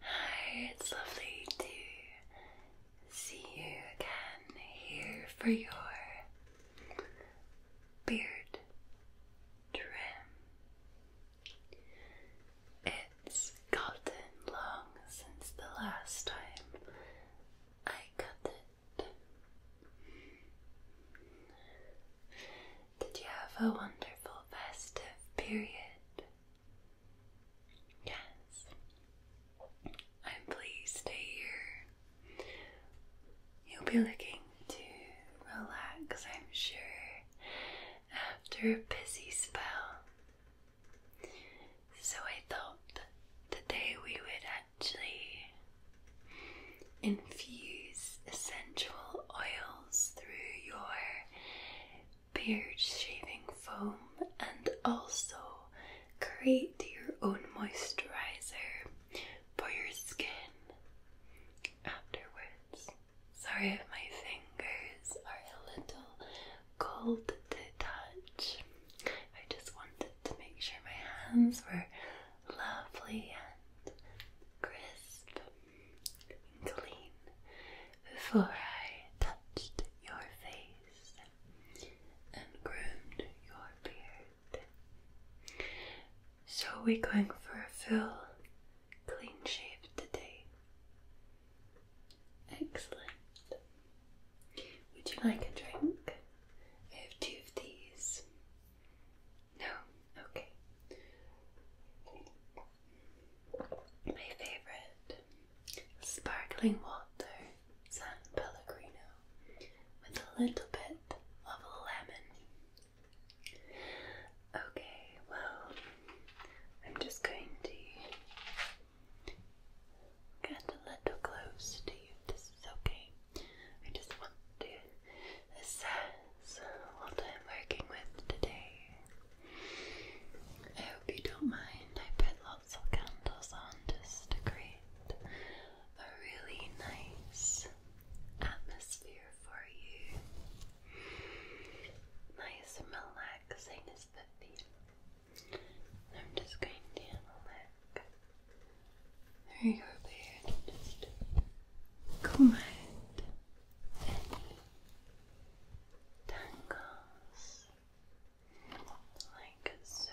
Hi, it's lovely to see you again here for your beard trim. It's gotten long since the last time I cut it. Did you have a wonderful festive period? Yes. I'm pleased to hear you'll be looking to relax, I'm sure, after a busy spell so I thought today we would actually infuse essential oils through your beard shaving foam and also create your own moisturizer for your skin afterwards. Sorry if my fingers are a little cold to touch. I just wanted to make sure my hands were lovely and crisp and clean before I touched your face and groomed your beard. So we're going for a full clean shave today. Excellent. Would you like a drink? I have two of these. No? Okay. My favorite sparkling water, San Pellegrino, with a little bit of lemon. Okay, well, I'm just going to Get a little close to you. This is okay. I just want to assess what I'm working with today. I hope you don't mind. I put lots of candles on just to create a really nice atmosphere for you. Nice relaxing is the theme. I'm just going down the neck very quickly here and just comb out tangles like so.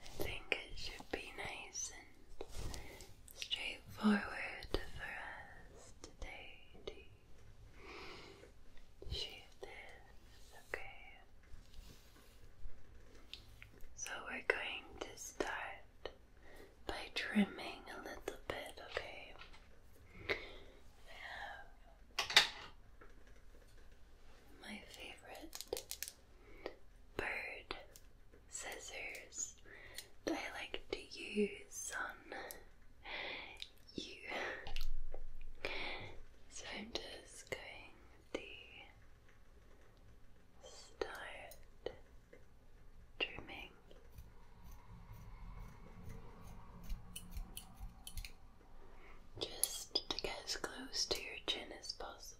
I think it should be nice and straightforward for us today to shape this, okay? So we're going to start by trimming a little bit, okay? my favorite bird scissors that I like to use on you. So I'm just going to start trimming. Just to get as close to your chin as possible.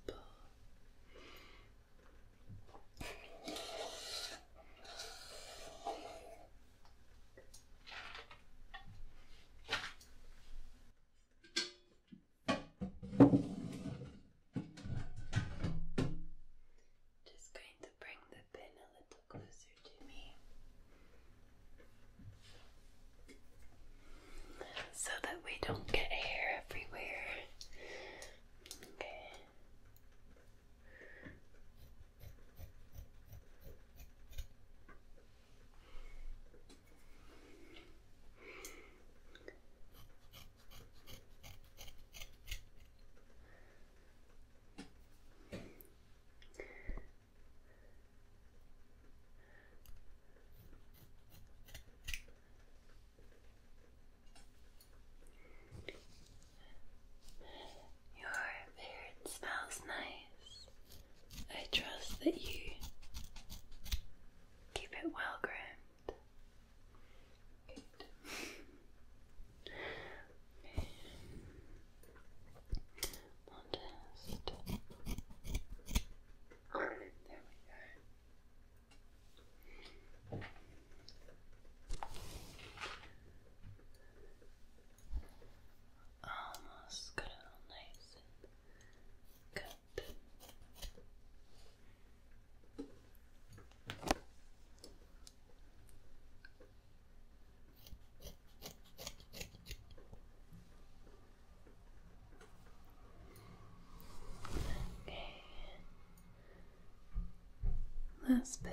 Just going to bring the pin a little closer to me so that we don't get hair everywhere. Okay. Your beard smells nice. I trust that you keep it well groomed. Modest. There Almost got it all nice and cut. Okay. Last bit.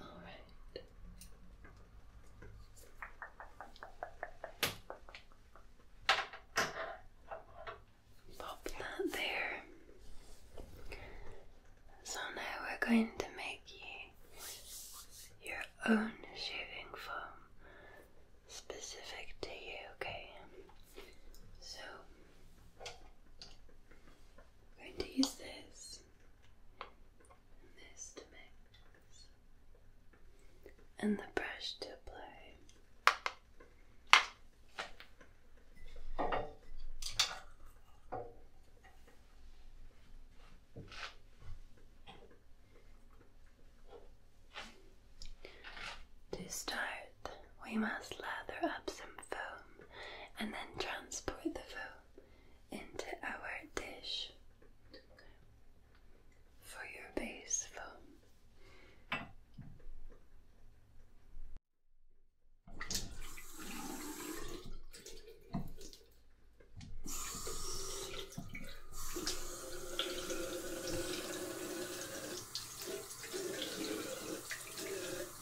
All right. Pop that there. So now we're going to make you your own shaving foam specific to you, okay? So going to use this and this to mix, and the brush to apply. To start, we must lather up some foam and then transport the foam into our dish for your base foam.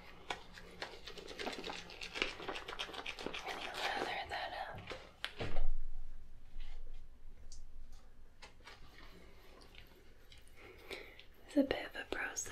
And you lather that up. It's a bit of a process.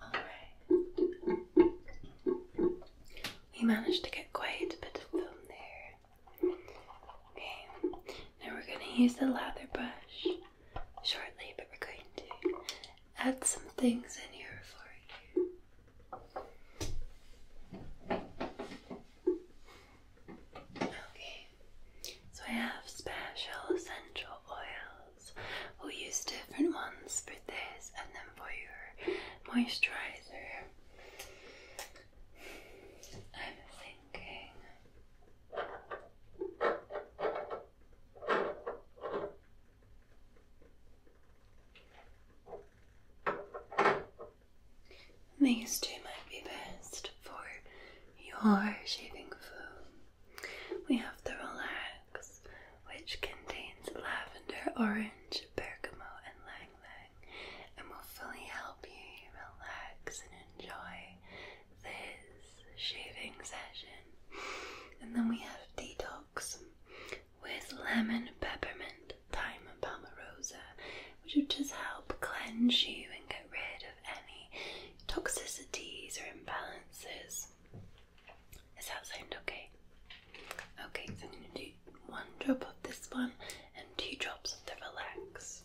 All right. We managed to get quite a bit of film there. Okay, now we're going to use the lather brush shortly, but we're going to add some things in here for you. Okay, so I have special essential oils. We'll use different ones for this and then for your moisturizer. I'm thinking. These two might be best for your shaving foam. We have the Relax, which contains lavender, orange, bergamot, and lang lang, and will fully help you relax enjoy this shaving session. And then we have detox with lemon peppermint, thyme, and palmarosa, which would just help cleanse you and get rid of any toxicities or imbalances. Does that sound okay? Okay, so I'm going to do one drop of this one and two drops of the relax.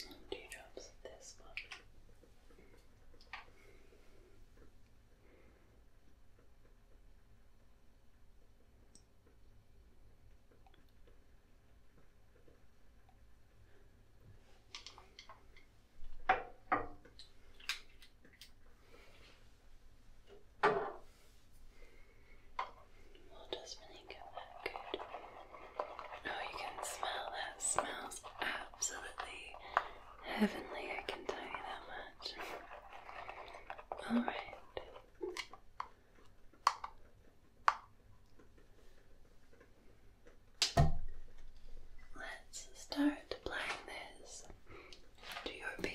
Two drops this one. What Oh, you can smell that. Smells absolutely heavenly, I can tell you that much. Alright. Let's start applying this to your beard.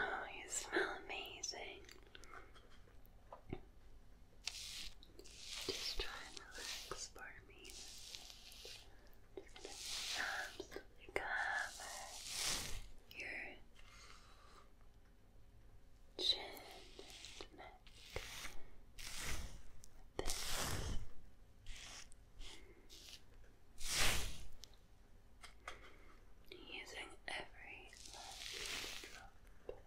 Oh, you smell amazing. Just try and relax for me. absolutely cover your chin and neck. This. Using every last drop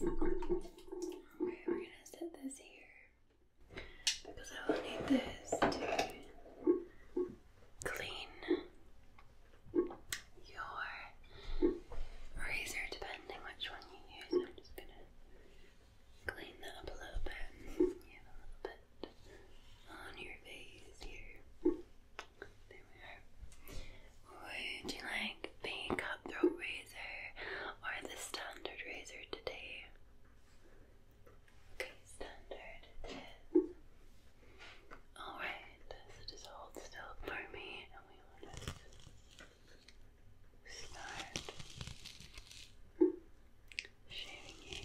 Okay, we're gonna set this here because I will need this to clean your razor, depending which one you use. I'm just gonna clean that up a little bit. You have a little bit on your face here. There we are. Would you like the cutthroat razor or the standard razor today? Okay, standard Alright, so just hold for me and we will just start shaving you.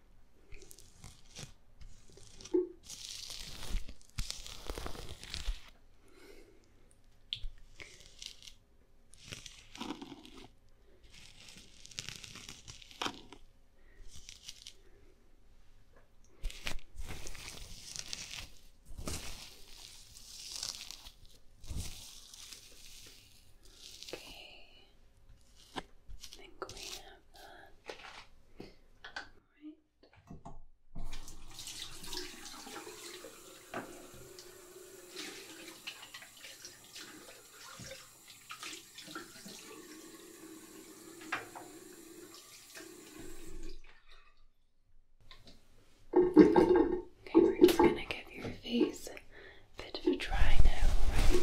Okay. I think we have that. Right. Okay, we're just going to give your face a bit of a dry now, right?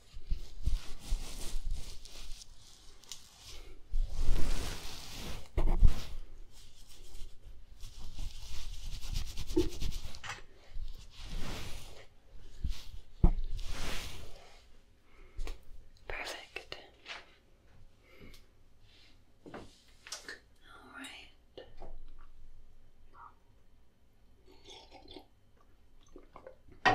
Perfect. All right. I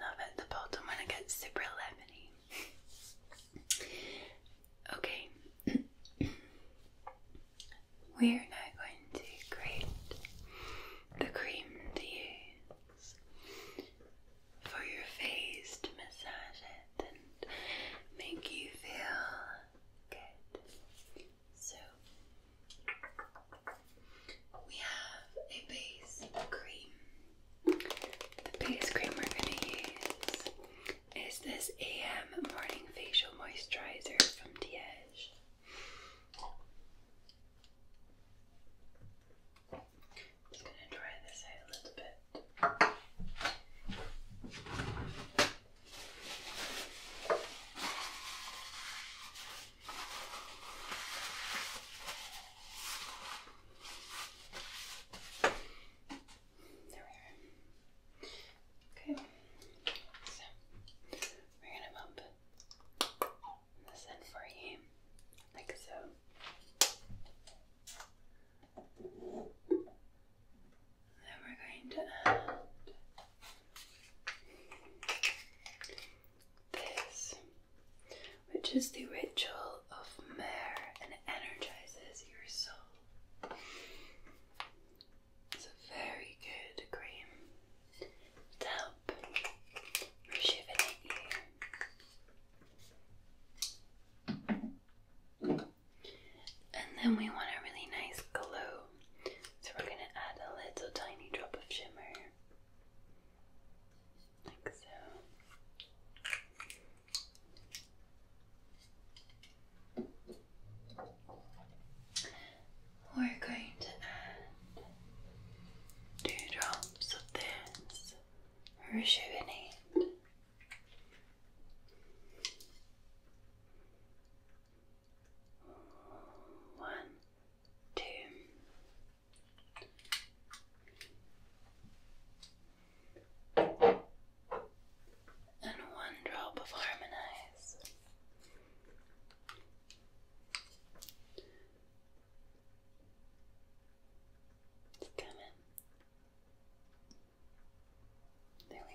love it, the bottom when gets super lemony. okay, we are now going to create the cream to for your face to massage it and make you feel good. So, we have a base cream. The base cream we're going to use is this AM Morning Facial Moisturizer from Diege. just going to dry this out a little bit. There we are. Okay, so we're gonna bump this in for you, like so. Then we're going to this, which is the ritual of myrrh and it energizes your soul. It's a very good cream to help rejuvenate you. And then we want a really nice glow, so we're going to add a little tiny drop of shimmer like so. We're going to add two drops of this rejuvenate. One, two, and one drop of harmonize. It's coming. There we are.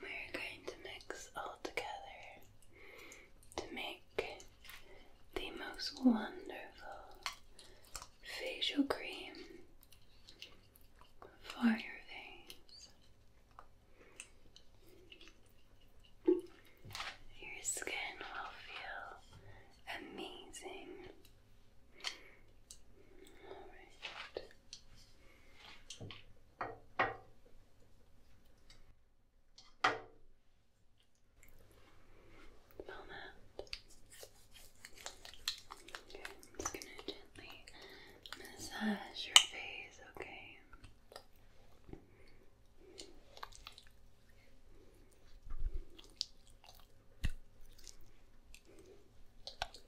We're going to mix all together to make the most wonderful facial cream for your face. Your skin will feel amazing all right. Smell that. I'm just gonna gently massage your face, Okay.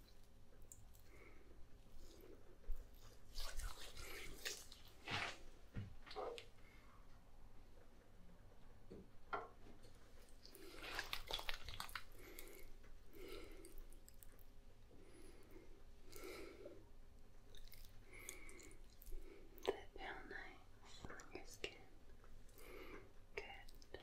Does it feel on your skin? Good.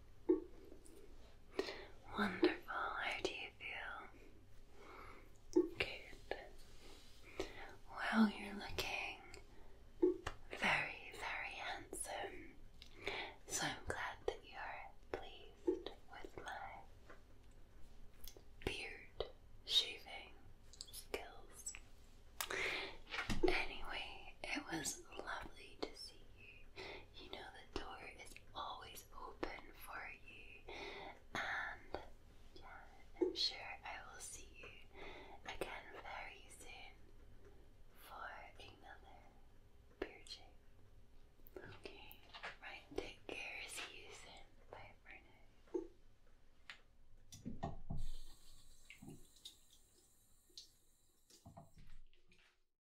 Wonderful. How do you feel? Good. Well, you're looking very, very handsome. So I'm glad that you're pleased with my beard shaving skills. Anyway, it was lovely to see you you know the door is always open for you. And yeah, I'm sure I will see you again very soon for another beer Okay, right, take care. See you Bye for